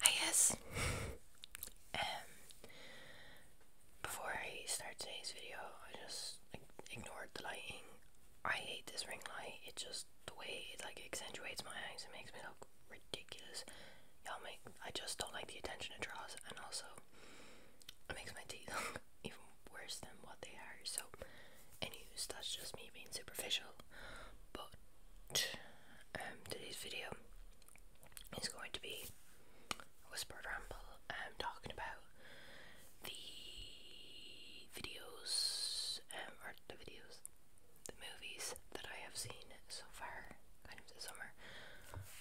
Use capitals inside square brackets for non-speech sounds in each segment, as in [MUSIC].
Hi guys! Um, before I start today's video, I just ignored the lighting. I hate this ring light, it just, the way it like accentuates my eyes, it makes me look ridiculous. Y'all make, I just don't like the attention it draws, and also, it makes my teeth [LAUGHS] look even worse than what they are, so, anyways, that's just me being superficial but um, today's video is going to be a whispered ramble. I'm um, talking about the videos, um, or the videos, the movies that I have seen so far, kind of this summer.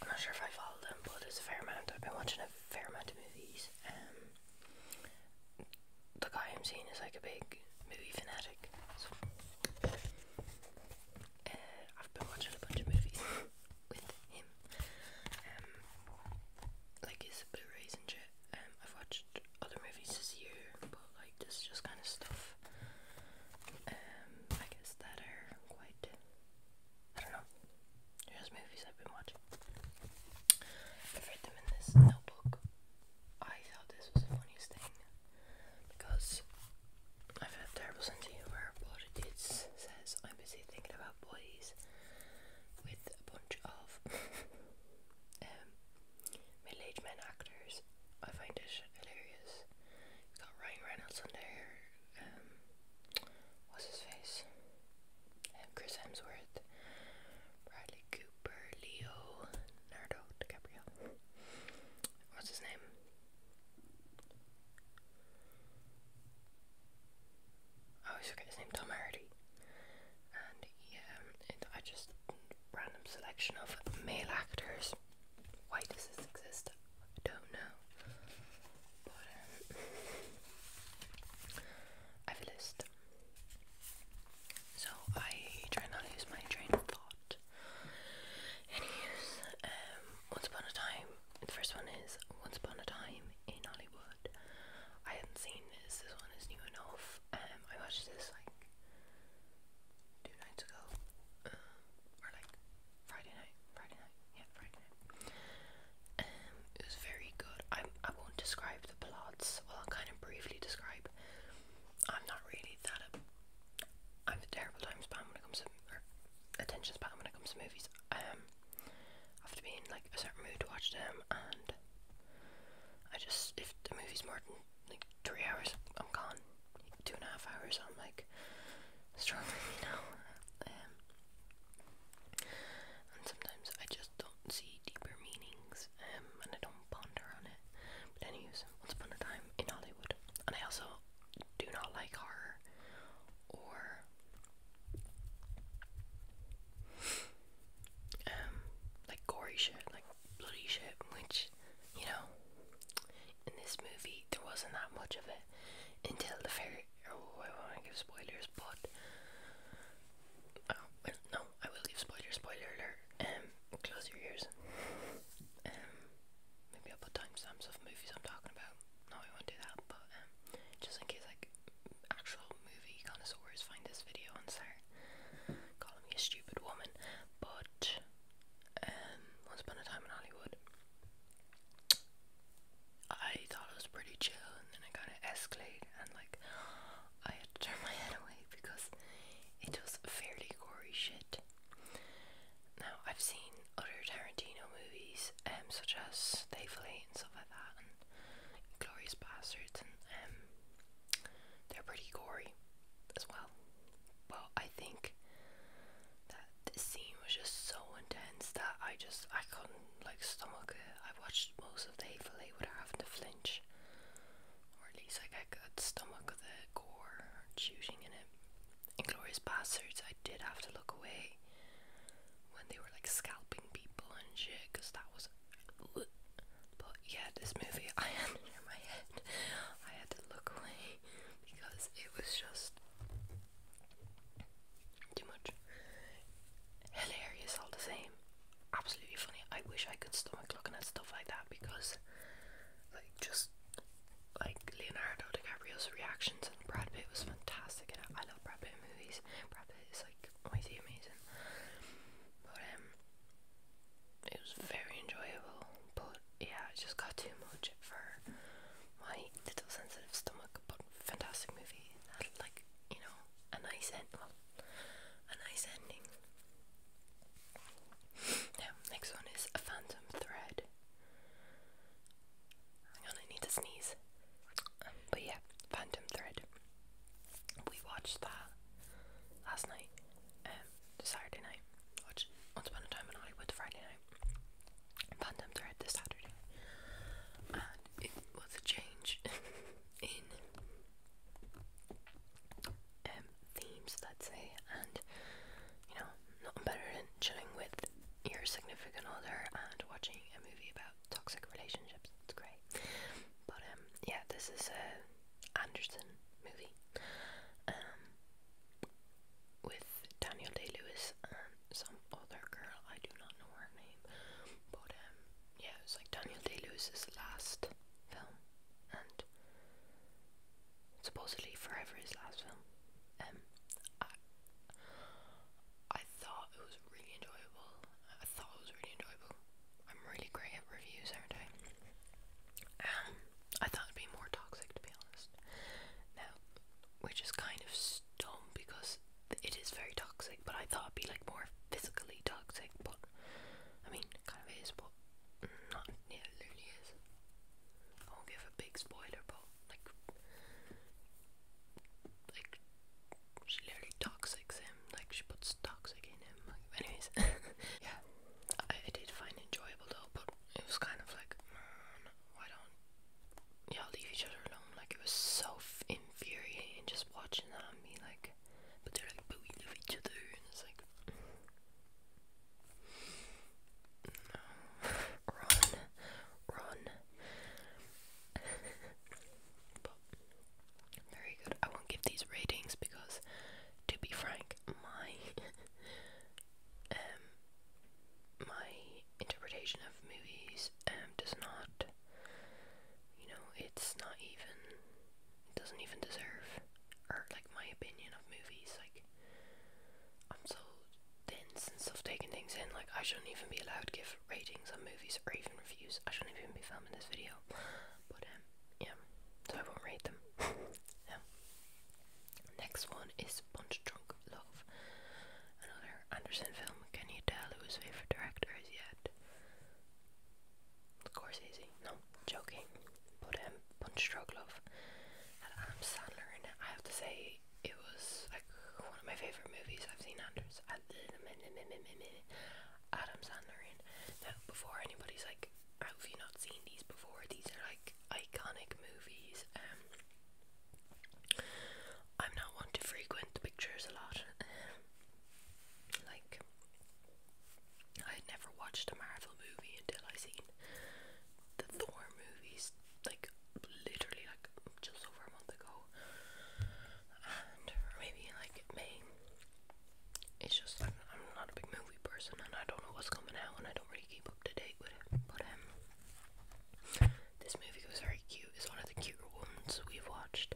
I'm not sure if I followed them, but there's a fair amount. I've been watching a fair amount of movies. Um, the guy I'm seeing is like a big movie fanatic. So uh, I've been watching a bunch of movies with him, um, like his Blu-rays and shit. Um, I've watched other movies this year, but like this just kind of stuff. Um, I guess that are quite. I don't know. Just movies I've been watching. I've read them in this notebook. I thought this was the funniest thing because I've had terrible sense of humour, but it says I'm busy thinking about boys with a bunch of [LAUGHS] um, middle-aged men actors. I find this hilarious. got Ryan Reynolds on there. Um, what's his face? Um, Chris Hemsworth, Bradley Cooper. Super Nardo DiCaprio. What's his name? Oh, I always forget his name, Tom Hardy. And yeah, I just random selection of male actors. Why does this exist? I don't know. Um, I have a so I try not to use my train of thought. Anyways, um, Once Upon a Time. The first one is Once Upon a Time in Hollywood. I hadn't seen this. This one is new enough. Um, I watched this like two nights ago, uh, or like Friday night. Friday night. Yeah, Friday night. Um, it was very good. I I won't describe the plots. Well, I'll kind of briefly describe I'm not really that. i I'm a terrible timespan when it comes to attention span when it comes to movies. I um, have to be in like a certain mood to watch them, and I just if the movie's more than like three hours, I'm gone. Two and a half hours, I'm like struggling, [LAUGHS] you know. Um, and sometimes I just don't see deeper meanings um, and I don't ponder on it. But anyways, once upon a time in Hollywood, and I also do not like horror or um like gory shit, like bloody shit, which you know in this movie there wasn't that much of it until the very. Oh, I want to give spoilers, but oh, no, I will give spoiler, spoiler alert. Um, close your ears. Um, maybe I'll put timestamps of movies I'm talking about. No, I won't do that, but um, just in case like actual movie connoisseurs find this video and start calling me a stupid woman. But um, once upon a time in Hollywood, I thought it was pretty chill, and then it kind of escalated, and like I had to turn my head away because it was fairly gory shit. Now, I've seen other Tarantino movies, um, such as Thaifully and stuff like that, and Glorious Bastards, and um, they're pretty gory as well. Well, I think that the scene was just so intense that I just I couldn't like stomach it. I watched most of Thaifully without having to flinch or at least like I stomach the gore shooting in it. Inglorious Bastards, I did have to look away when they were like scalping people and shit, cause that was. [SNIFFS] But yeah, this movie, [LAUGHS] I had it my head. I had to look away because it was just too much. Hilarious all the same absolutely funny. I wish I could stomach looking at stuff like that because, like, just like Leonardo DiCaprio's reactions and Brad Pitt was fantastic. And I love Brad Pitt movies. Brad Pitt is like, why is amazing? But um, it was very enjoyable. But yeah, it just got too much for my little sensitive stomach. But fantastic movie. That, like you know, a nice end a nice ending. Now, next one is a phantom thread. Hang on, I need to sneeze. Um, but yeah, Phantom Thread. We watched that last night, um, Saturday night. Watch Once Upon a Time in Hollywood Friday night. Phantom Thread this Saturday. And it was a change [LAUGHS] in um, themes, let's say, and you know, nothing better than chilling with your significant other and watching a movie about toxic relationships. It's great. But um, yeah, this is a Anderson movie um, with Daniel Day Lewis and some other girl. I do not know her name, but um, yeah, it was like Daniel Day Lewis's last film, and supposedly forever his last film. Um, I, I thought it was really enjoyable. I thought it was really enjoyable. I'm really great at reviews, aren't I? Um, I thought it'd be more toxic, to be honest. Now, which is kind of dumb because it is very toxic, but I thought it'd be like more physically toxic. But I mean, kind of is what not yeah, it literally is. I won't give a big spoiler but like like she literally toxics him, like she puts toxic in him. anyways, [LAUGHS] yeah, I, did find it enjoyable though, but it was kind of like, man, why don't y'all leave each other alone? Like it was so infuriating just watching that and be like, but they're like, but we each other, and it's like, no, [LAUGHS] run, run. [LAUGHS] very good. I won't give these ratings because, to be frank, my [LAUGHS] um my interpretation of movies um does not, you know, it's not even doesn't even deserve, or like my opinion of movies. Like, I'm so dense and stuff taking things in. Like, I shouldn't even be allowed to give ratings on movies or even reviews. I shouldn't even be filming this video. But um, yeah. So I won't rate them. [LAUGHS] yeah. Next one is Punch Drunk Love, another Anderson film. Can you tell who his favorite director is yet? Of course, easy. No, joking, but um, Punch Drug Love Adam Sandler in it. I have to say, it was like one of my favourite movies I've seen Anders, Adam Sandler in. Now, before anybody's like, i have you not seen these before? These are like iconic movies. Um, I'm not one to frequent the pictures a lot. Um, like, I had never watched a Marvel movie until I seen the Thor movies, like literally like just over a month ago, and or maybe like May. It's just I'm, I'm not a big movie person, and I don't know what's coming out, and I don't really keep up to date with it. But um, this movie was very cute. It's one of the cuter ones we've watched.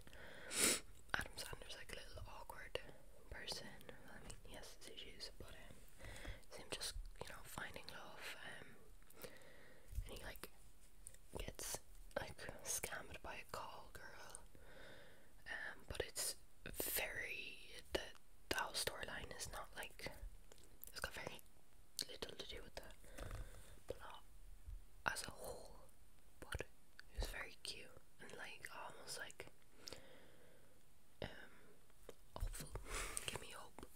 Adam Sandler's like a little awkward person. I mean, he has his issues, but um, it's him just you know finding love. Um, and he like gets like scammed by a call girl. Um, but it's very the the whole storyline is not like it's got very little to do with the plot as a whole, but it was very cute and like almost like um hopeful. [LAUGHS] Give me hope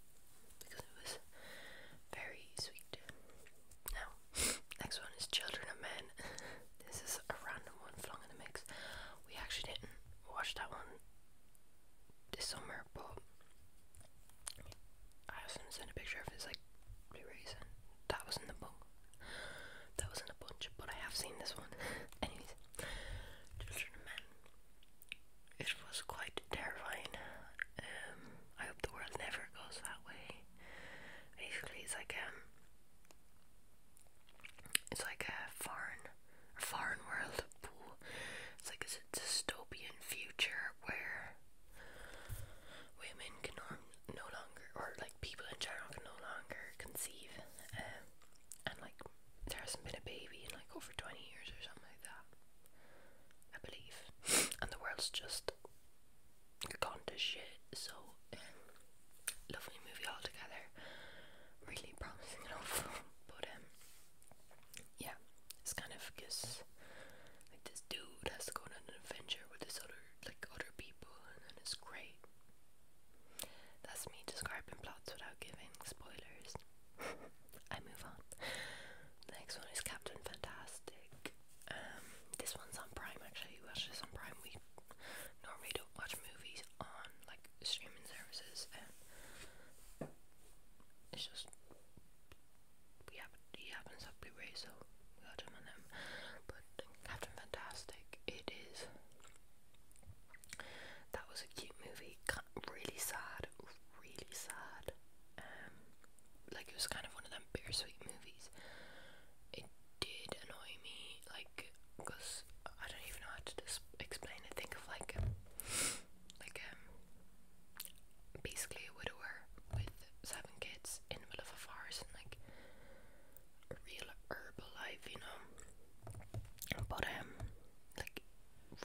because it was very sweet. Now, [LAUGHS] next one is Children of Men. [LAUGHS] this is a random one flung in the mix. We actually didn't watch that one this summer, but I was going a picture of it, it's like pretty recent that was in the book. That was in the book, but I have seen this one. [LAUGHS] Anyways, Children of Men. It was quite terrifying. Um, I hope the world never goes that way. Basically, it's like um, it's like a foreign, foreign world. It's like a dystopian future where women can no longer, or like people in general can no longer conceive, um, and like there hasn't been a baby in like over 20 years or something like that, I believe, and the world's just gone to shit. So, um, lovely movie altogether, really promising and overall, but um, yeah, it's kind of because like this dude has to go on an adventure with this other like other people, and it's great. That's me describing plots without giving spoilers. [LAUGHS] I move on. The next one is Captain Fantastic. Um, this one's on Prime actually. We watch this on Prime. We normally don't watch movies on like streaming services, and it's just we have it happens up Hellraiser, we got him on them. But Captain Fantastic, it is. That was a cute movie. Really sad, really sad. Um, like it was kind of one of them bittersweet movies. It did annoy me, like, cause I don't even know how to explain it. Think of like, like um, basically a widower with seven kids in the middle of a forest and like real herbal life, you know. But um, like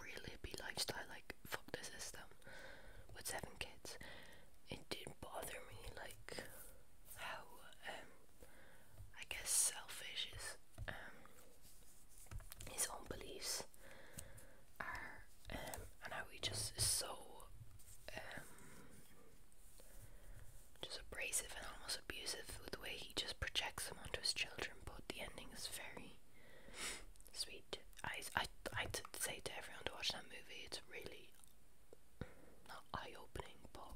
really hippie lifestyle, like fuck the system with seven kids. It did bother me, like how um, I guess selfish is um his own beliefs are um and how we just so um just abrasive and almost abusive with the way he just projects them onto his children, but the ending is very sweet. I, I, I'd say to everyone to watch that movie, it's really not eye opening, but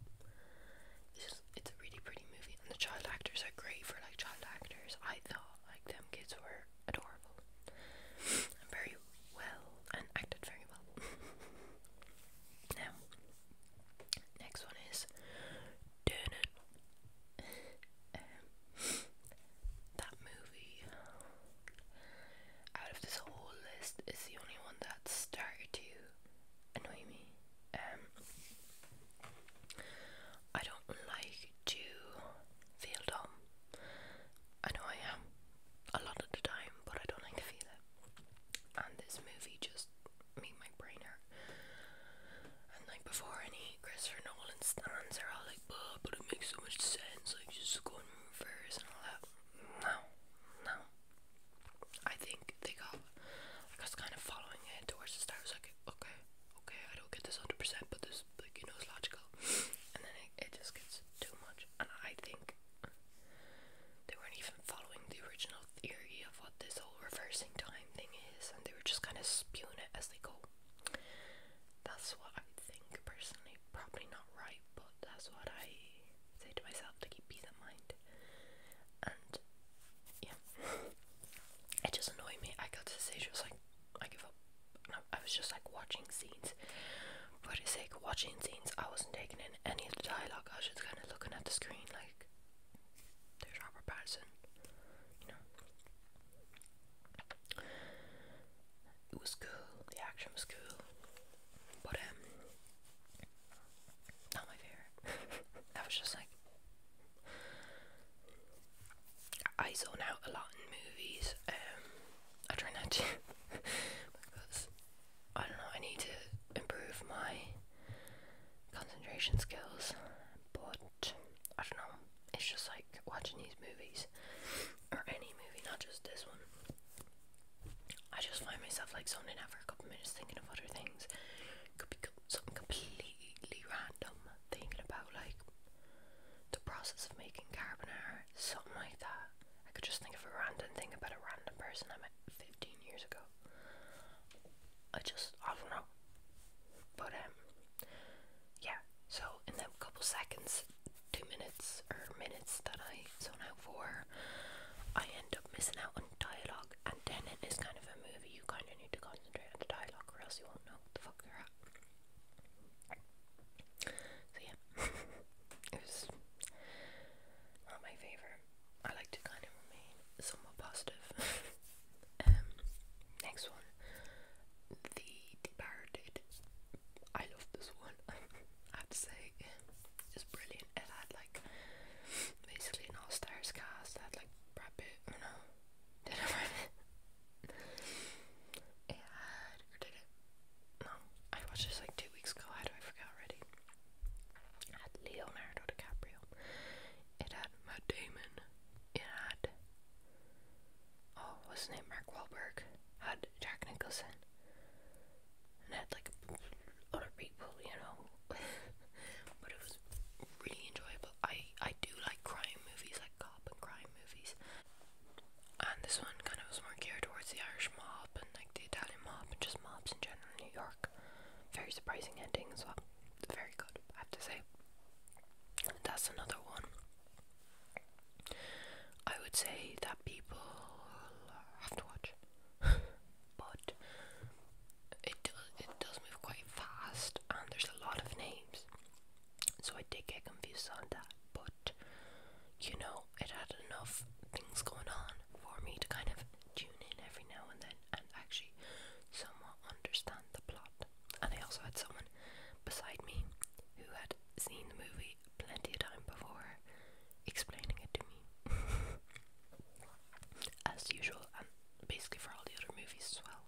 it's it's a really pretty movie. And the child actors are great for like child actors. I thought like them kids were adorable and very well and acted very well. [LAUGHS] Now, next one is Turn um, that movie, out of this whole list, is the only one that started to annoy me. Um, I don't like to feel dumb. I know I am, a lot of the time, but I don't like to feel it. And this movie just made my brain hurt. And like before any Christopher Nolan stands are all like, oh, but it makes so much sense, like just go and move first and all that. No, no. I think they got like I was kind of following it towards the stars, like, okay, okay, I don't get this hundred percent, but this like you know is logical. And then it, it just gets too much. And I think they weren't even following the original theory of what this whole reversing time thing is, and they were just kind of spewing it as they go. That's what I think personally. Probably not right, but that's what I say to myself to keep peace of mind. And yeah, it just annoyed me. I got to the stage, I was like, I give up. I was just like watching scenes for the sake of watching scenes, I wasn't taking in any of the dialogue. I was just kind of looking at the screen, like, there's Robert Pattinson. you know. It was cool. The action was cool, but um, not my favorite. [LAUGHS] I was just like, I zone out a lot in movies. Um, I try not to [LAUGHS] because I don't know, I need to improve my concentration skills, but I don't know, it's just like watching these movies, or any movie, not just this one. I just find myself like zoning out for a couple minutes thinking of other things. Could be something completely random, thinking about like the process of making carbonara, something like that. I could just think of a random thing about a random person I met 15 years ago. I just, I don't know. But, um, yeah, so in the couple seconds, two minutes, or minutes that I zone out for, I end up missing out on dialogue, and then in kind of a movie, you kind of need to concentrate on the dialogue, or else you won't know the fuck they're at. So, yeah. [LAUGHS] it was not my favourite. I like to kind of remain somewhat positive. [LAUGHS] um, next one, the Departed. I love this one. [LAUGHS] I have to say, it's brilliant. It had like basically an all stars cast. It had like Brad I write [LAUGHS] it? No, I watched this like two weeks ago. How do I forget already? It had Leonardo DiCaprio. It had Matt Damon. It had oh, what's his name? Mark Wahlberg. had Jack Nicholson. And had like other people, you know. [LAUGHS] but it was really enjoyable. I I do like crime movies, like cop and crime movies. And this one kind of was more geared towards the Irish mob and like the Italian mob and just mobs in general in New York. Very surprising ending as well. Very good, I have to say. That's another one. I would say that people have to watch, [LAUGHS] but it does it does move quite fast, and there's a lot of names, so I did get confused on that. But you know, it had enough things going on for me to kind of tune in every now and then and actually somewhat understand the plot. And I also had someone beside me who had seen the movie plenty of time before explaining it to me. [LAUGHS] as usual, and basically for all the other movies as well.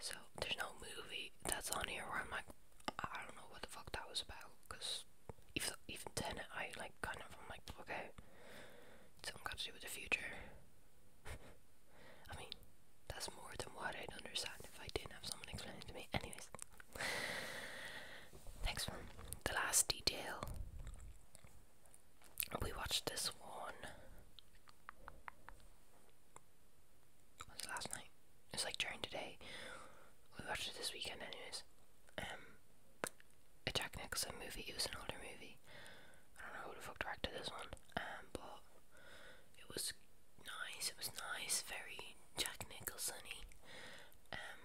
So there's no movie that's on here where I'm like, I don't know what the fuck that was about, because even, even then, I like kind of, I'm like, okay, it's something got to do with the future. [LAUGHS] I mean, that's more than what I'd understand if I didn't have someone explaining it to me. Anyways, next one, the last detail. We watched this one was it last night? It was like during today. We watched it this weekend, anyways. Um, a Jack Nicholson movie. It was an older movie. I don't know who the fuck directed this one. Um, but it was nice. It was nice. Very Jack Nicholson-y. Um,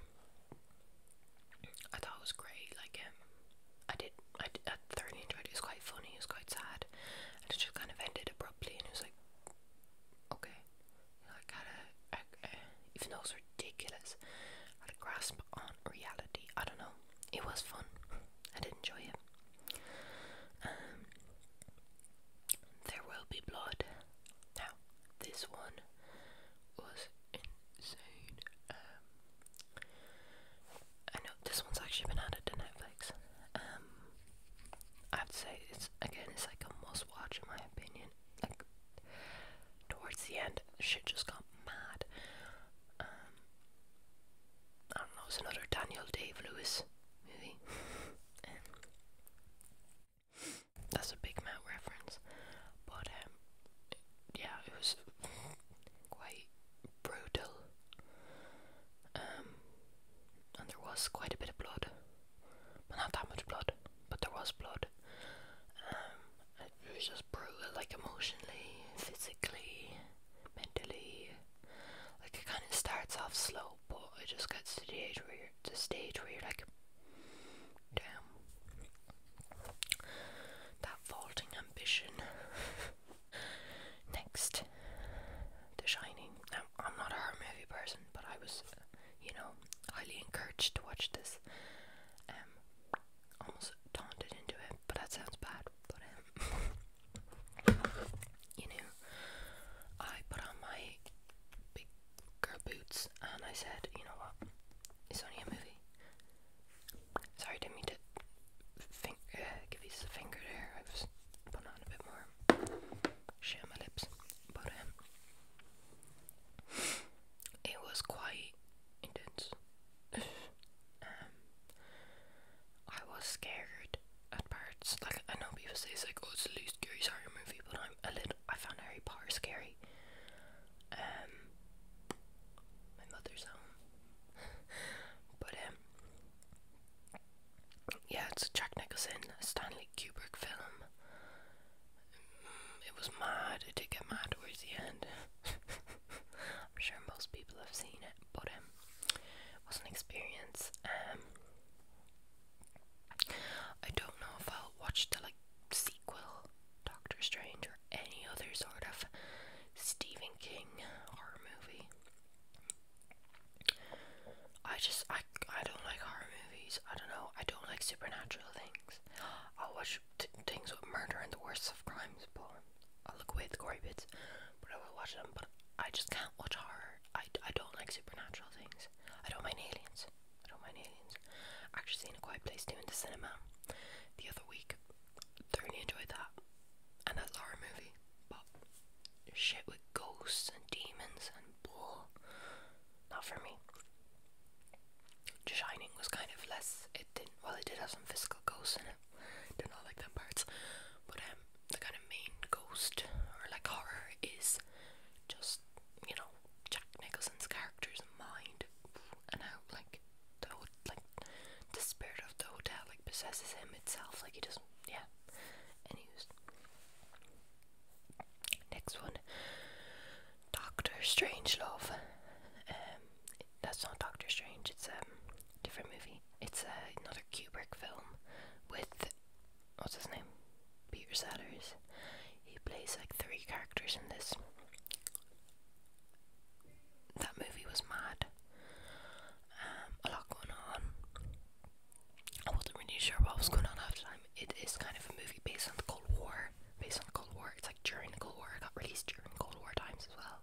I thought it was great. Like, um, I did. I, I thoroughly enjoyed it. It was quite funny. It was quite sad, and it just kind of ended abruptly. And it was like, okay. Like how to, even though it's ridiculous, had a grasp on reality. I don't know. It was fun. I did enjoy it. Um, there will be blood. Now, this one was insane. Um, I know this one's actually been added to Netflix. Um, I'd say it's again it's like a must watch in my opinion. Like towards the end shit just got mad. Um, I don't know, it's another Daniel Dave Lewis movie. [LAUGHS] Um, that's a big Matt reference. But um, yeah, it was quite brutal. and there was quite a bit of blood but not that much blood. But there was blood. Um, it was just brutal, like emotionally, physically, mentally. Like it kind of starts off slow, but it just gets to the age where you the stage where you're like, damn, that vaulting ambition. [LAUGHS] Next, The Shining. I'm, not a horror movie person, but I was, you know, highly encouraged to watch this. Um, almost taunted into it, but that sounds bad. But um, [LAUGHS] you know, I put on my big girl boots and I said, you know what? It's only a movie. Sorry, didn't mean to. Fing uh, give you the finger there. I was putting on a bit more shit my lips. But um, it was quite intense. [SIGHS] Um, I was scared at parts. Like I know people say it's like, oh, it's a least scary horror movie, but I'm a little. I found Harry Potter scary. Um, my mother's home. [LAUGHS] but yeah, it's a Jack Nicholson, Stanley Kubrick film. Mm, it was mad. It did get mad towards the end. [LAUGHS] I'm sure most people have seen it, but um, it was an experience. Um, I don't know if I'll watch the like sequel, Doctor Strange, or any other sort of Stephen King horror movie. I just I I don't like horror movies. I don't know. I don't like supernatural things. I'll watch things with murder and the worst of crimes, but I'll look away at the gory bits. But I will watch them. But I just can't watch horror. I, I don't like supernatural things. I don't mind aliens. I don't mind aliens. actually seen a quiet place too in the cinema the other week. Thoroughly enjoyed that. And that's horror movie. But shit with ghosts and demons and bull, Not for me. The Shining was kind of less. It didn't. Well, it did have some physical ghosts in it. Did not like that parts. But um, the kind of main ghost or like horror is just you know Jack Nicholson's character's mind and how like the like the spirit of the hotel like possesses him itself. Like he doesn't. Yeah. he's. Next one, Doctor Strangelove. Um, that's not Doctor Strange. It's a um, different movie. It's uh, another Kubrick film with what's his name, Peter Sellers. He plays like three characters in this. That movie was mad um, a lot going on. I wasn't really sure what was going on half the time. It is kind of a movie based on the Cold War. Based on the Cold War. It's like during the Cold War. It got released during Cold War times as well.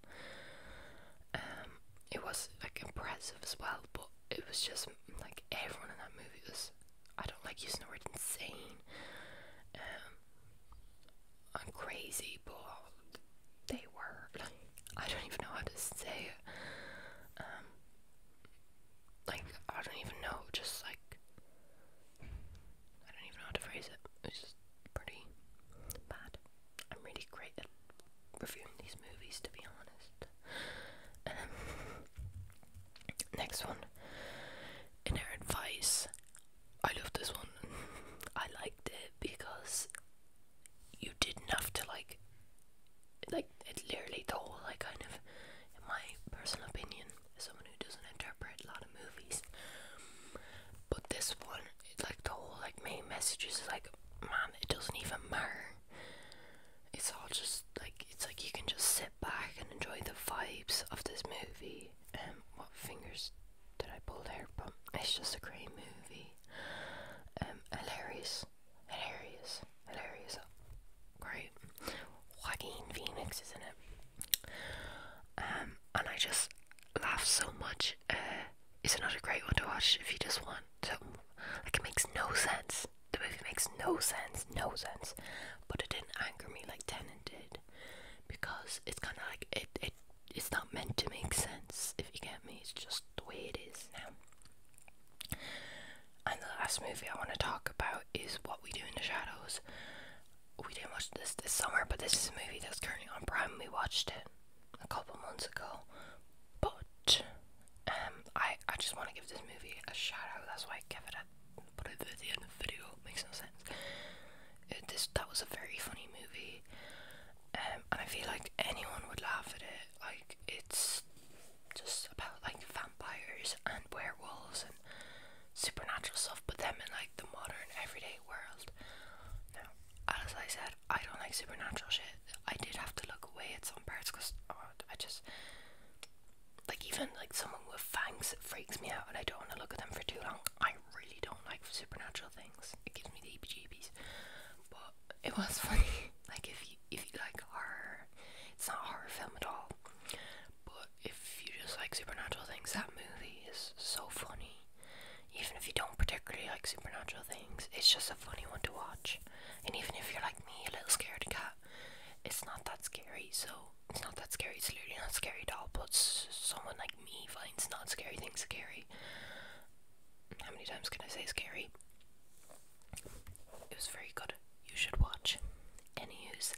Um, it was like impressive as well, but it was just like everyone in that movie was. I don't like using the insane. Um, I'm crazy, but they were. [LAUGHS] I don't even know how to say it. Um, like I don't even know, just like I don't even know how to phrase it. It's just pretty bad. I'm really great at reviewing these movies to be honest. Um, [LAUGHS] next one. Inherent Vice. I love this one. [LAUGHS] I liked it because you did enough to like like it literally the whole like kind of in my personal opinion someone who doesn't interpret a lot of movies but this one it, like the whole like main message is like man it doesn't even matter it's all just like it's like you can just sit back and enjoy the vibes of this movie And um, what fingers did I pull there but it's just a great movie um hilarious Hilarious. Hilarious. Great. Joaquin Phoenix is in it. Um, and I just laugh so much. Uh, it's another great one to watch if you just want to. Like, it makes no sense. The movie makes no sense, no sense. But it didn't anger me like Tenet did. Because it's kind of like, it, it, it's not meant to make sense, if you get me. It's just the way it is now. And the last movie I want to talk about is What We Do in the Shadows. We didn't watch this this summer, but this is a movie that's currently on Prime. We watched it a couple months ago, but um, I I just want to give this movie a shout out. That's why I gave it a put it at the end of the video. Makes no sense. It, this that was a very funny movie, um, and I feel like anyone would laugh at it. Like it's just about like vampires and werewolves and supernatural stuff, but them in like the modern everyday world. Now, as I said, I don't like supernatural shit. I did have to look away at some parts because oh, I just like even like someone with fangs freaks me out, and I don't want to look at them for too long. I really don't like supernatural things. It gives me the heebie-jeebies. But it was funny. [LAUGHS] like if you if you like horror, it's not a horror film at all. But if you just like supernatural things, that movie is so funny. Even if you don't particularly like supernatural things, it's just a funny one to watch. And even if you're like me, a little scared cat, it's not that scary. So it's not that scary. It's literally not scary at all. But someone like me finds not scary things scary. How many times can I say scary? It was very good. You should watch. Anywho's,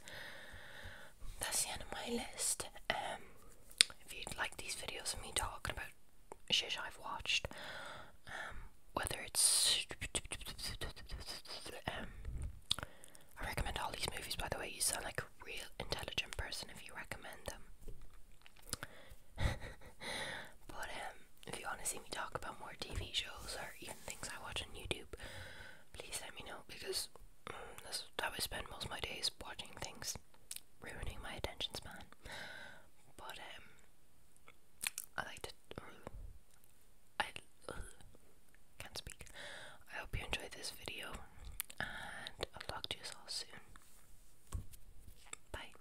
that's the end of my list. Um, if you'd like these videos of me talking about shit I've watched, um, whether it's um, I recommend all these movies. By the way, you sound like a real intelligent person if you recommend them. [LAUGHS] but um, if you want to see me talk about more TV shows or even things I watch on YouTube, please let me know because mm, that's how I spend most of my days watching things, ruining my attention span. But um, I like to. Uh, I uh, can't speak. I hope you enjoyed this video, and I'll talk to you all soon. Bye.